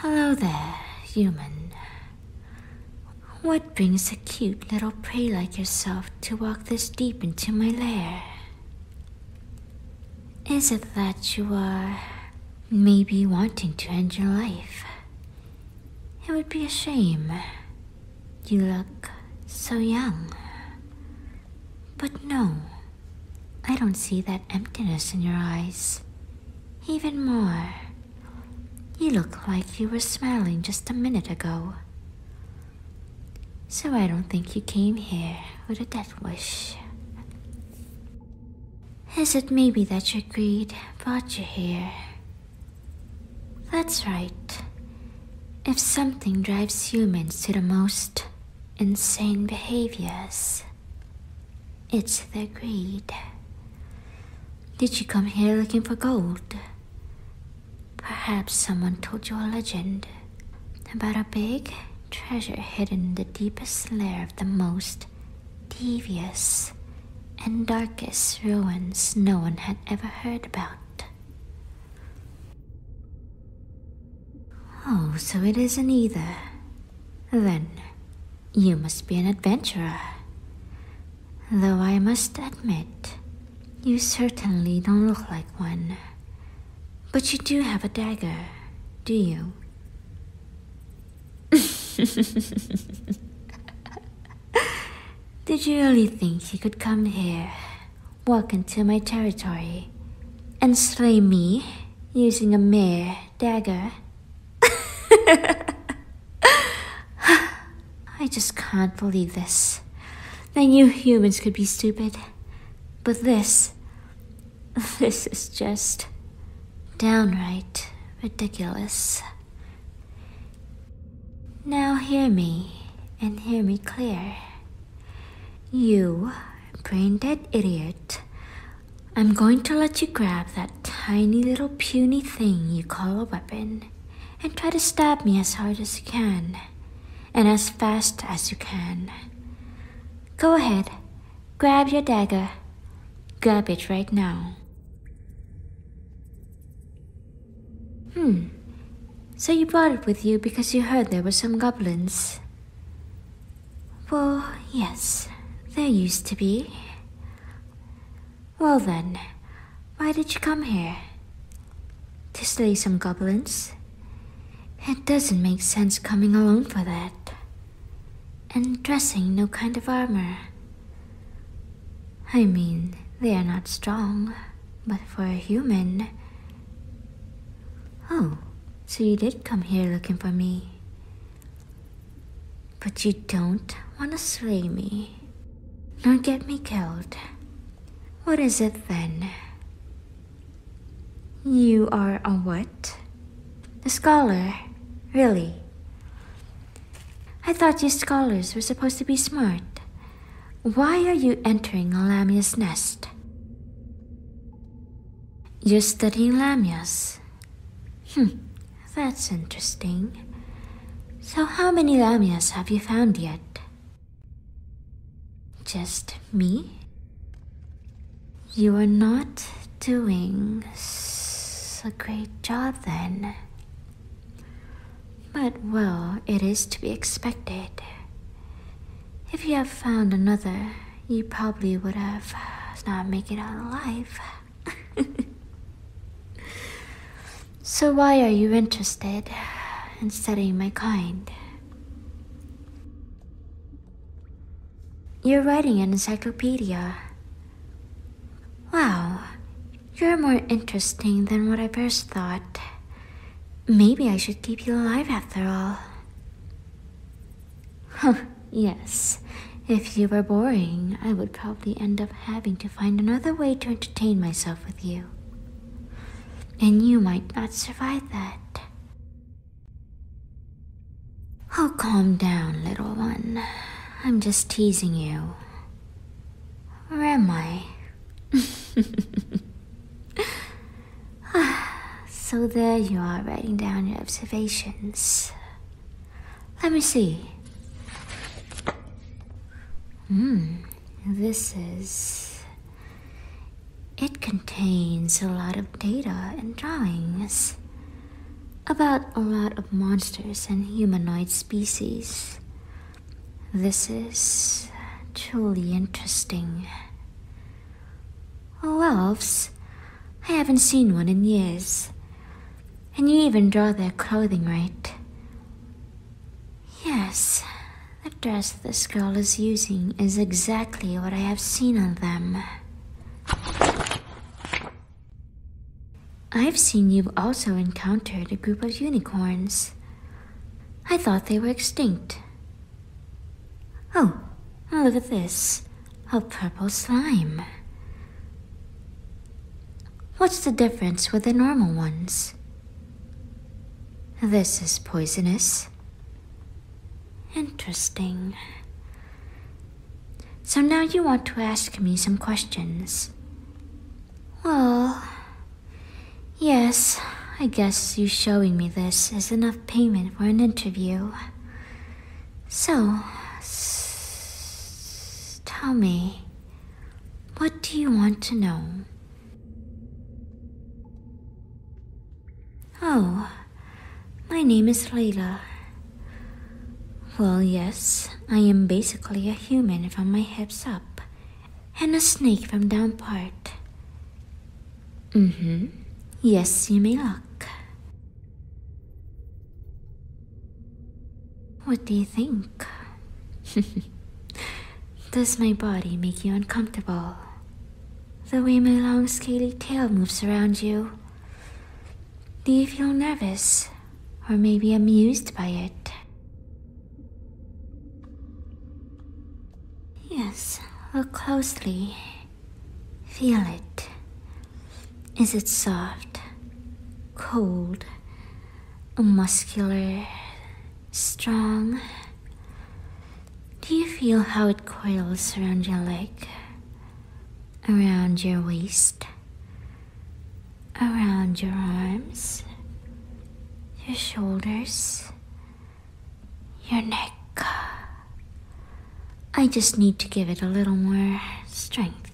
Hello there, human. What brings a cute little prey like yourself to walk this deep into my lair? Is it that you are maybe wanting to end your life? It would be a shame you look so young. But no, I don't see that emptiness in your eyes. Even more, you look like you were smiling just a minute ago. So I don't think you came here with a death wish. Is it maybe that your greed brought you here that's right. If something drives humans to the most insane behaviors, it's their greed. Did you come here looking for gold? Perhaps someone told you a legend about a big treasure hidden in the deepest lair of the most devious and darkest ruins no one had ever heard about. Oh, so it isn't either. Then, you must be an adventurer. Though I must admit, you certainly don't look like one. But you do have a dagger, do you? Did you really think he could come here, walk into my territory, and slay me using a mere dagger? I just can't believe this. I knew humans could be stupid, but this. This is just downright ridiculous. Now hear me, and hear me clear. You brain dead idiot. I'm going to let you grab that tiny little puny thing you call a weapon and try to stab me as hard as you can and as fast as you can. Go ahead, grab your dagger. Grab it right now. Hmm. So you brought it with you because you heard there were some goblins. Well, yes. There used to be. Well then, why did you come here? To slay some goblins? It doesn't make sense coming alone for that. And dressing no kind of armor. I mean, they are not strong, but for a human. Oh, so you did come here looking for me. But you don't want to slay me, nor get me killed. What is it then? You are a what? A scholar, really? I thought you scholars were supposed to be smart. Why are you entering Lamia's nest? You're studying Lamias. Hmm, that's interesting. So how many Lamias have you found yet? Just me? You are not doing a great job then. But well, it is to be expected. If you have found another, you probably would have uh, not made it out alive. so why are you interested in studying my kind? You're writing an encyclopedia. Wow, you're more interesting than what I first thought. Maybe I should keep you alive after all. yes. If you were boring, I would probably end up having to find another way to entertain myself with you. And you might not survive that. Oh, calm down, little one. I'm just teasing you. Where am I? so there you are writing down your observations. Let me see. Hmm, this is. It contains a lot of data and drawings about a lot of monsters and humanoid species. This is truly interesting. Oh, elves? I haven't seen one in years. And you even draw their clothing right. Yes, the dress this girl is using is exactly what I have seen on them. I've seen you've also encountered a group of unicorns. I thought they were extinct. Oh, oh, look at this. A purple slime. What's the difference with the normal ones? This is poisonous. Interesting. So now you want to ask me some questions. Well, yes, I guess you showing me this is enough payment for an interview. So, tell me, what do you want to know? Oh, my name is Layla. Well, yes, I am basically a human from my hips up, and a snake from down part. Mm hmm. Yes, you may look. What do you think? Does my body make you uncomfortable? The way my long scaly tail moves around you? Do you feel nervous? or maybe amused by it. Yes, look closely. Feel it. Is it soft, cold, muscular, strong? Do you feel how it coils around your leg, around your waist, around your arms, your shoulders, your neck. I just need to give it a little more strength.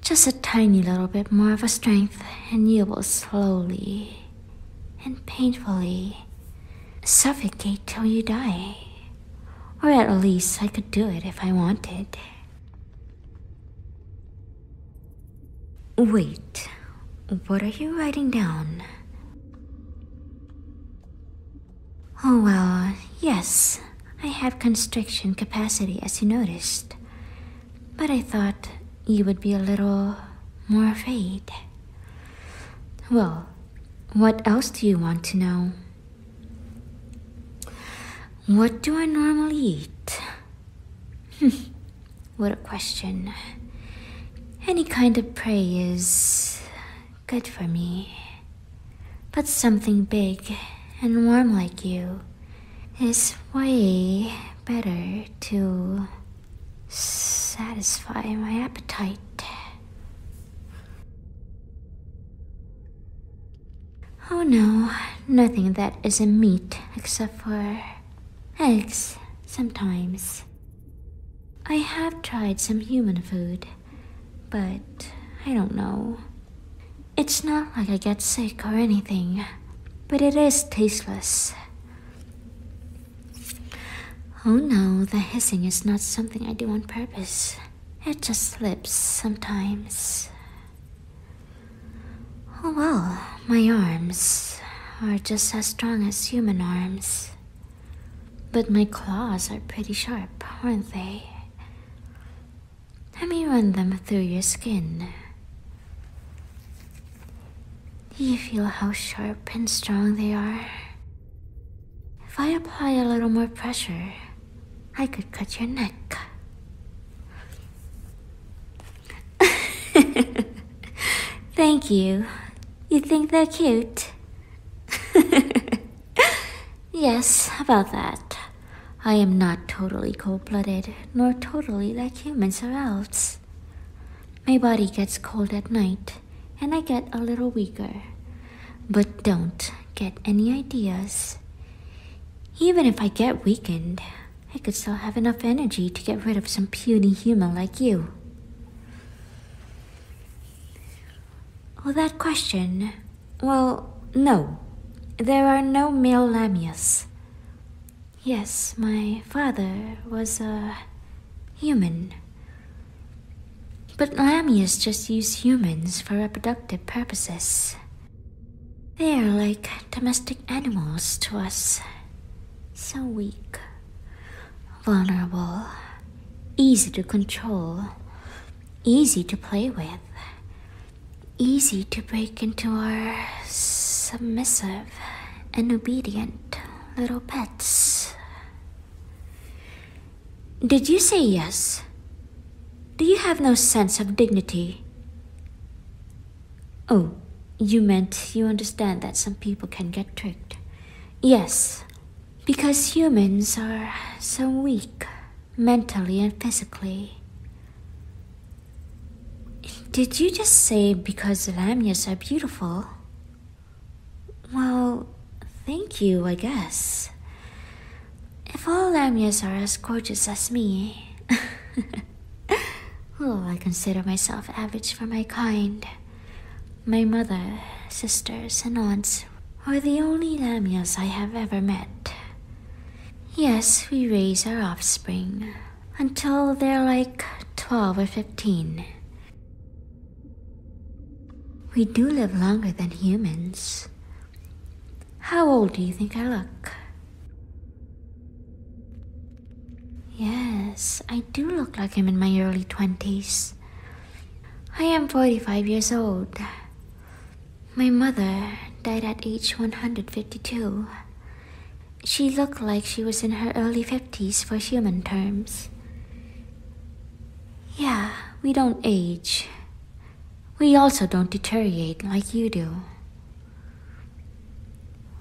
Just a tiny little bit more of a strength, and you will slowly and painfully suffocate till you die. Or at least I could do it if I wanted. Wait, what are you writing down? Oh well, yes, I have constriction capacity as you noticed. But I thought you would be a little more afraid. Well, what else do you want to know? What do I normally eat? Hmm. what a question. Any kind of prey is good for me. But something big and warm like you is way better to satisfy my appetite. Oh no, nothing that isn't meat except for eggs sometimes. I have tried some human food, but I don't know. It's not like I get sick or anything, but it is tasteless. Oh no, the hissing is not something I do on purpose. It just slips sometimes. Oh well, my arms are just as strong as human arms. But my claws are pretty sharp, aren't they? Let me run them through your skin. you feel how sharp and strong they are? If I apply a little more pressure, I could cut your neck. Thank you. You think they're cute? yes, about that. I am not totally cold-blooded, nor totally like humans or elves. My body gets cold at night, and I get a little weaker, but don't get any ideas. Even if I get weakened, I could still have enough energy to get rid of some puny human like you. Oh, that question. Well, no. There are no male Lamias. Yes, my father was a human but Lamias just use humans for reproductive purposes. They are like domestic animals to us. So weak, vulnerable, easy to control, easy to play with, easy to break into our submissive and obedient little pets. Did you say yes? Do you have no sense of dignity? Oh, you meant you understand that some people can get tricked. Yes, because humans are so weak, mentally and physically. Did you just say because lamnias are beautiful? Well, thank you, I guess. If all Lamyas are as gorgeous as me, oh, I consider myself average for my kind. My mother, sisters, and aunts are the only Lamyas I have ever met. Yes, we raise our offspring until they're like 12 or 15. We do live longer than humans. How old do you think I look? Yes, I do look like I'm in my early 20s. I am 45 years old. My mother died at age 152. She looked like she was in her early 50s for human terms. Yeah, we don't age. We also don't deteriorate like you do.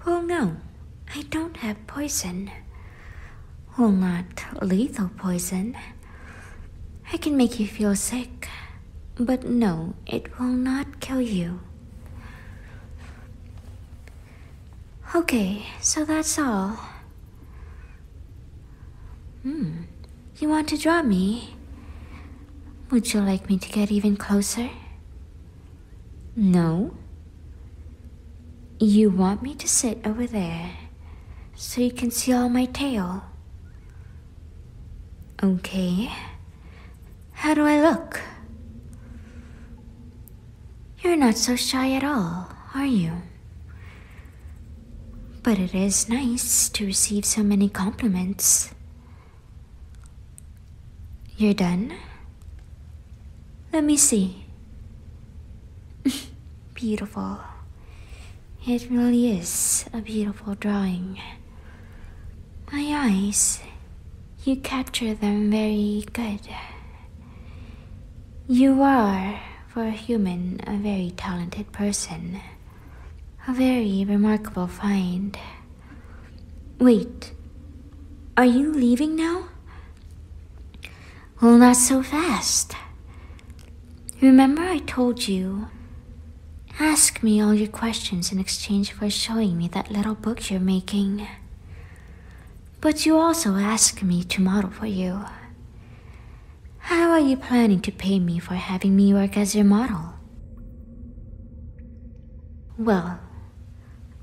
Well, no, I don't have poison. Well, not lethal poison. I can make you feel sick, but no, it will not kill you. Okay, so that's all. Hmm. You want to draw me? Would you like me to get even closer? No. You want me to sit over there so you can see all my tail? Okay. How do I look? You're not so shy at all, are you? But it is nice to receive so many compliments. You're done? Let me see. beautiful. It really is a beautiful drawing. My eyes, you capture them very good. You are, for a human, a very talented person. A very remarkable find. Wait, are you leaving now? Well, not so fast. Remember, I told you Ask me all your questions in exchange for showing me that little book you're making. But you also asked me to model for you. How are you planning to pay me for having me work as your model? Well,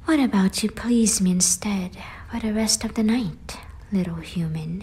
what about you please me instead for the rest of the night, little human?